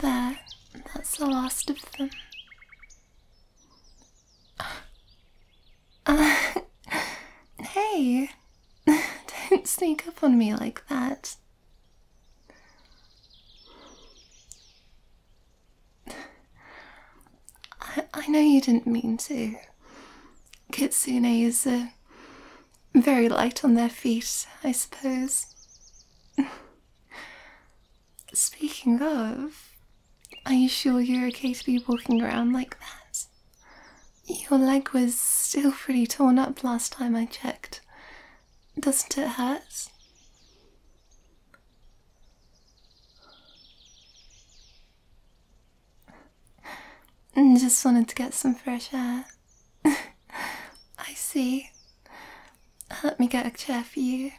There, that's the last of them. Uh, hey, don't sneak up on me like that. I, know you didn't mean to. Kitsune is very light on their feet, I suppose. Speaking of, are you sure you're okay to be walking around like that? Your leg was still pretty torn up last time I checked. Doesn't it hurt? Mm, just wanted to get some fresh air. I see. Uh, let me get a chair for you.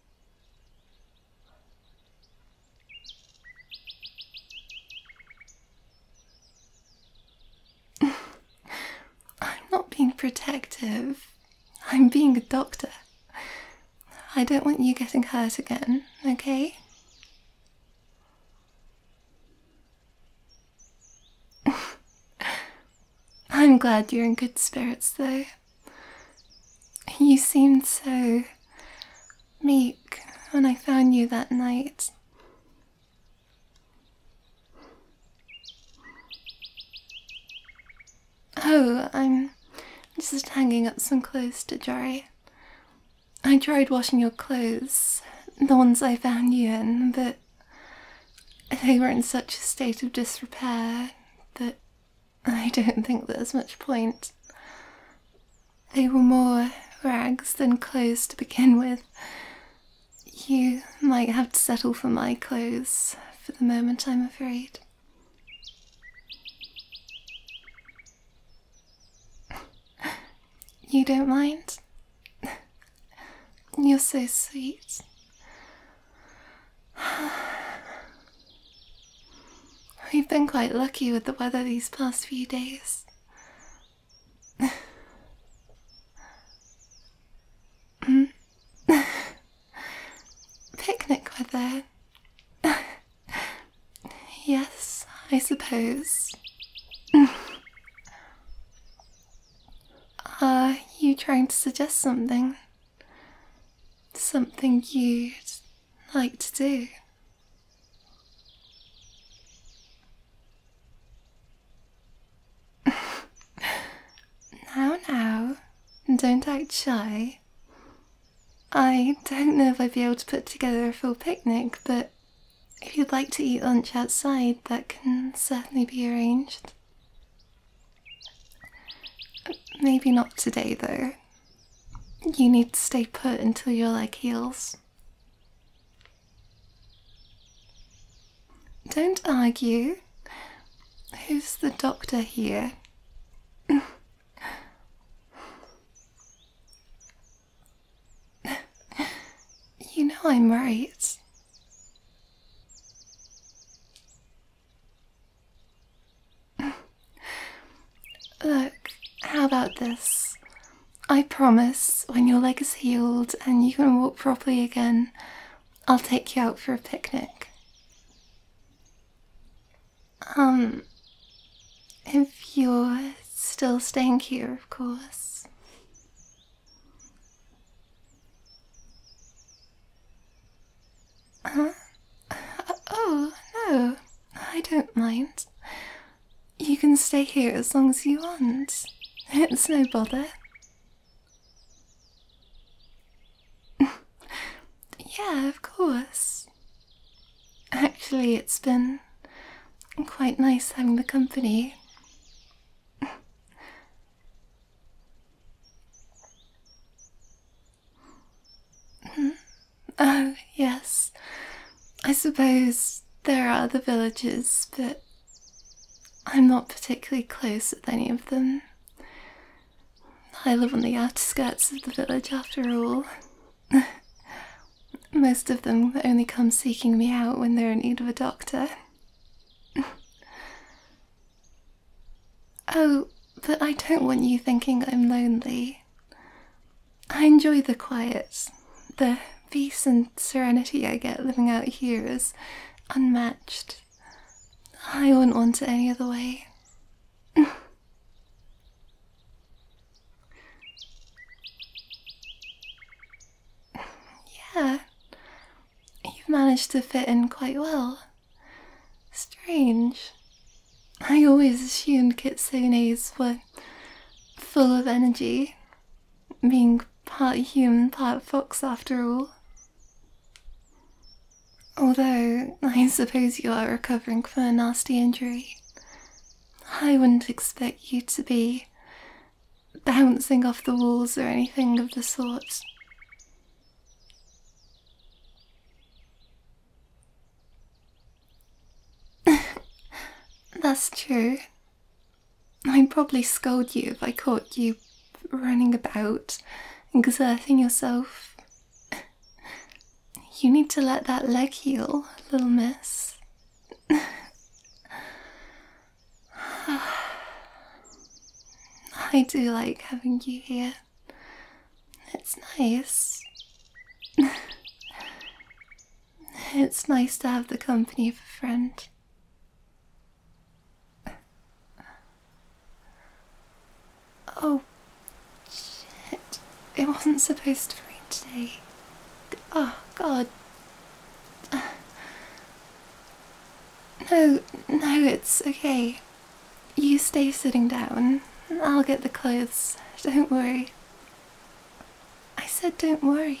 I'm not being protective. I'm being a doctor. I don't want you getting hurt again, okay? I'm glad you're in good spirits, though. You seemed so meek when I found you that night. Oh, I'm just hanging up some clothes to dry. I tried washing your clothes, the ones I found you in, but they were in such a state of disrepair that I don't think there's much point. They were more rags than clothes to begin with. You might have to settle for my clothes for the moment, I'm afraid. You don't mind? You're so sweet. We've been quite lucky with the weather these past few days. Hmm? Picnic weather. yes, I suppose. Are you trying to suggest something? Something you'd like to do? now, now, don't act shy. I don't know if I'd be able to put together a full picnic, but if you'd like to eat lunch outside, that can certainly be arranged. Maybe not today, though. You need to stay put until your leg heals. Don't argue. Who's the doctor here? you know I'm right. Look, how about this? I promise when your leg is healed and you can walk properly again, I'll take you out for a picnic. Um, if you're still staying here, of course. Oh, no, I don't mind. You can stay here as long as you want. It's no bother yeah, of course. Actually, it's been quite nice having the company. Hmm? oh, yes. I suppose there are other villages, but I'm not particularly close with any of them. I live on the outskirts of the village after all. Most of them only come seeking me out when they're in need of a doctor. oh, but I don't want you thinking I'm lonely. I enjoy the quiet, the peace and serenity I get living out here is unmatched. I wouldn't want it any other way. yeah, you've managed to fit in quite well. Strange. I always assumed kitsunes were full of energy, being part human, part fox after all. Although, I suppose you are recovering from a nasty injury. I wouldn't expect you to be bouncing off the walls or anything of the sort. That's true. I'd probably scold you if I caught you running about, exerting yourself. You need to let that leg heal, little miss. I do like having you here. It's nice. it's nice to have the company of a friend. Oh, shit. It wasn't supposed to rain today. Oh, God. No, no, it's okay. You stay sitting down. I'll get the clothes. Don't worry. I said don't worry.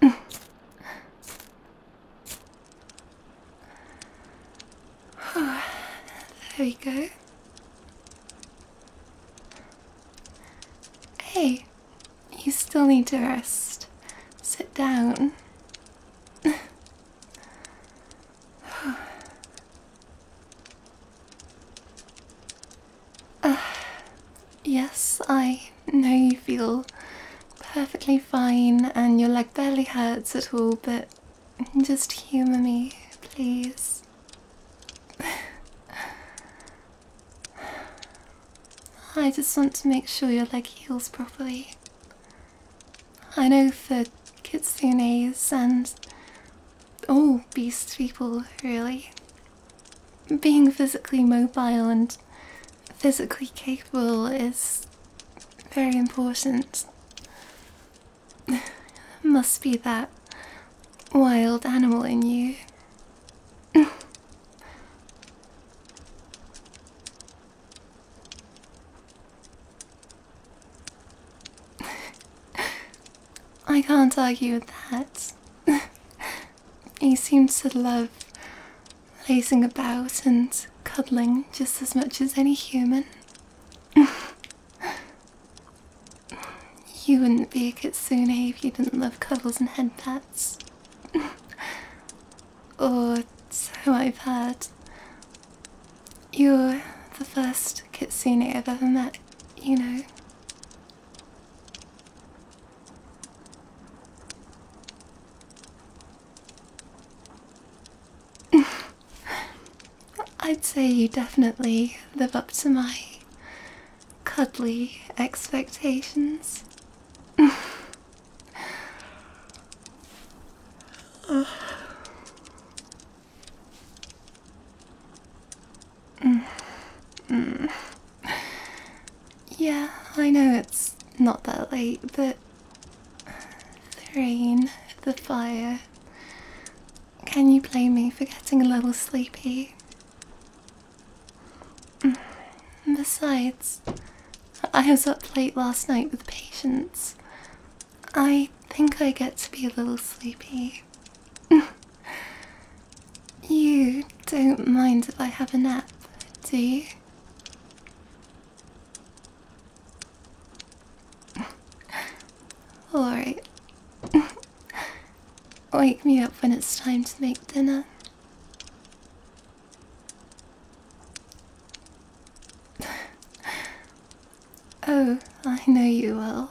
there we go. Hey, you still need to rest. Sit down. yes, I know you feel perfectly fine and your leg barely hurts at all, but just humour me, please. I just want to make sure your leg heals properly. I know for kitsunes and all beast people, really, being physically mobile and physically capable is very important. Must be that wild animal in you. I can't argue with that. He seems to love lazing about and cuddling just as much as any human. you wouldn't be a kitsune if you didn't love cuddles and head pats. or oh, so I've heard. You're the first kitsune I've ever met, you know. I'd say you definitely live up to my cuddly expectations. Mm. Mm. Yeah, I know it's not that late, but the rain, the fire. Can you blame me for getting a little sleepy? Mm. Besides, I was up late last night with patients. I think I get to be a little sleepy. You don't mind if I have a nap, do you? Alright. Wake me up when it's time to make dinner. oh, I know you will.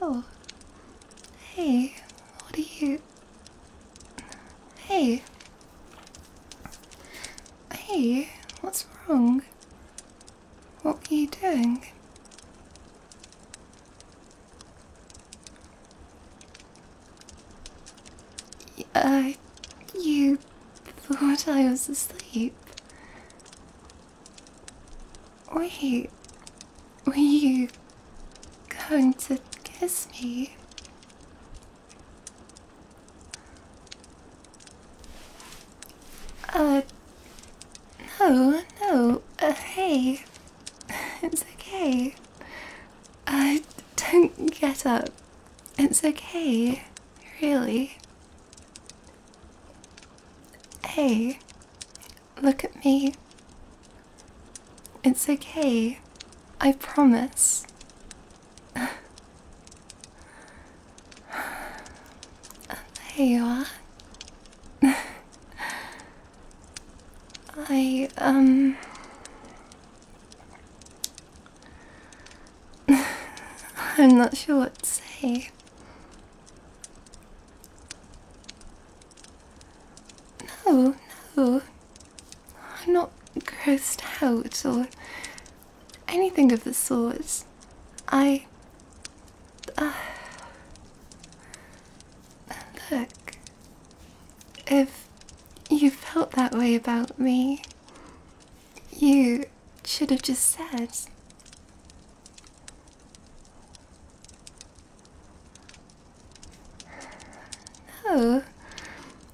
Oh. Hey, what are you. Hey. Hey, what's wrong? What are you doing? Uh, you thought I was asleep. Wait, were you going to kiss me? Uh, no, no, uh, hey, it's okay. I don't get up. It's okay, really. Hey, Look at me. It's okay. I promise. there you are. I, um. I'm not sure what to say. No, no. I'm not grossed out or anything of the sort. I. Uh, look, if you felt that way about me, you should have just said. No,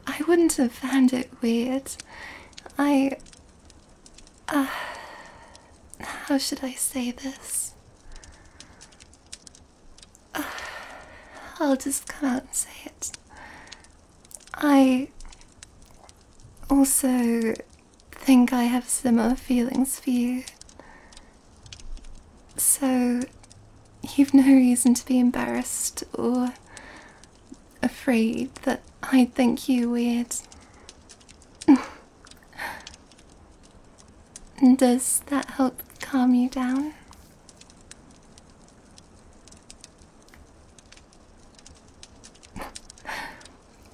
I wouldn't have found it weird. I. Uh, how should I say this? Uh, I'll just come out and say it. I also think I have similar feelings for you. So, you've no reason to be embarrassed or afraid that I think you weird. Does that help calm you down?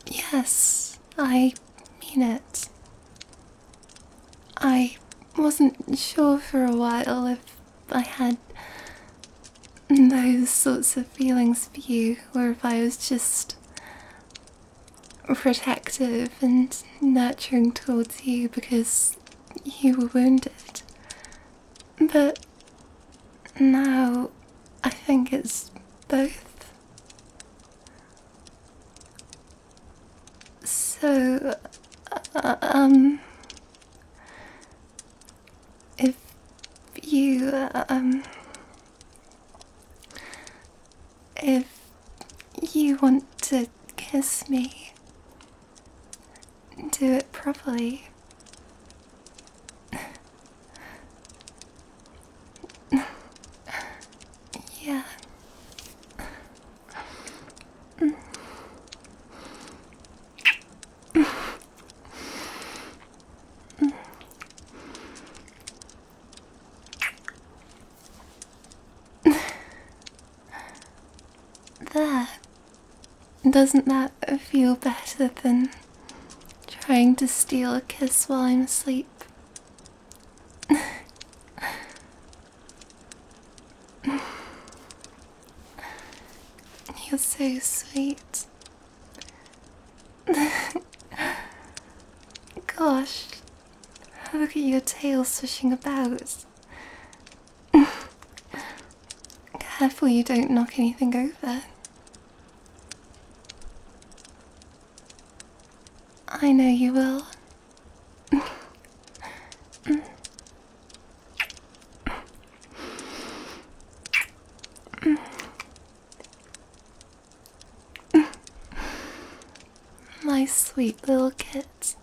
yes, I mean it. I wasn't sure for a while if I had those sorts of feelings for you, or if I was just protective and nurturing towards you because you were wounded. But now I think it's both. So, uh, um, if you, um, if you want to kiss me, do it properly yeah. There. Doesn't that feel better than trying to steal a kiss while I'm asleep? You're so sweet. Gosh, look at your tail swishing about. Careful you don't knock anything over. I know you will. My sweet little kit.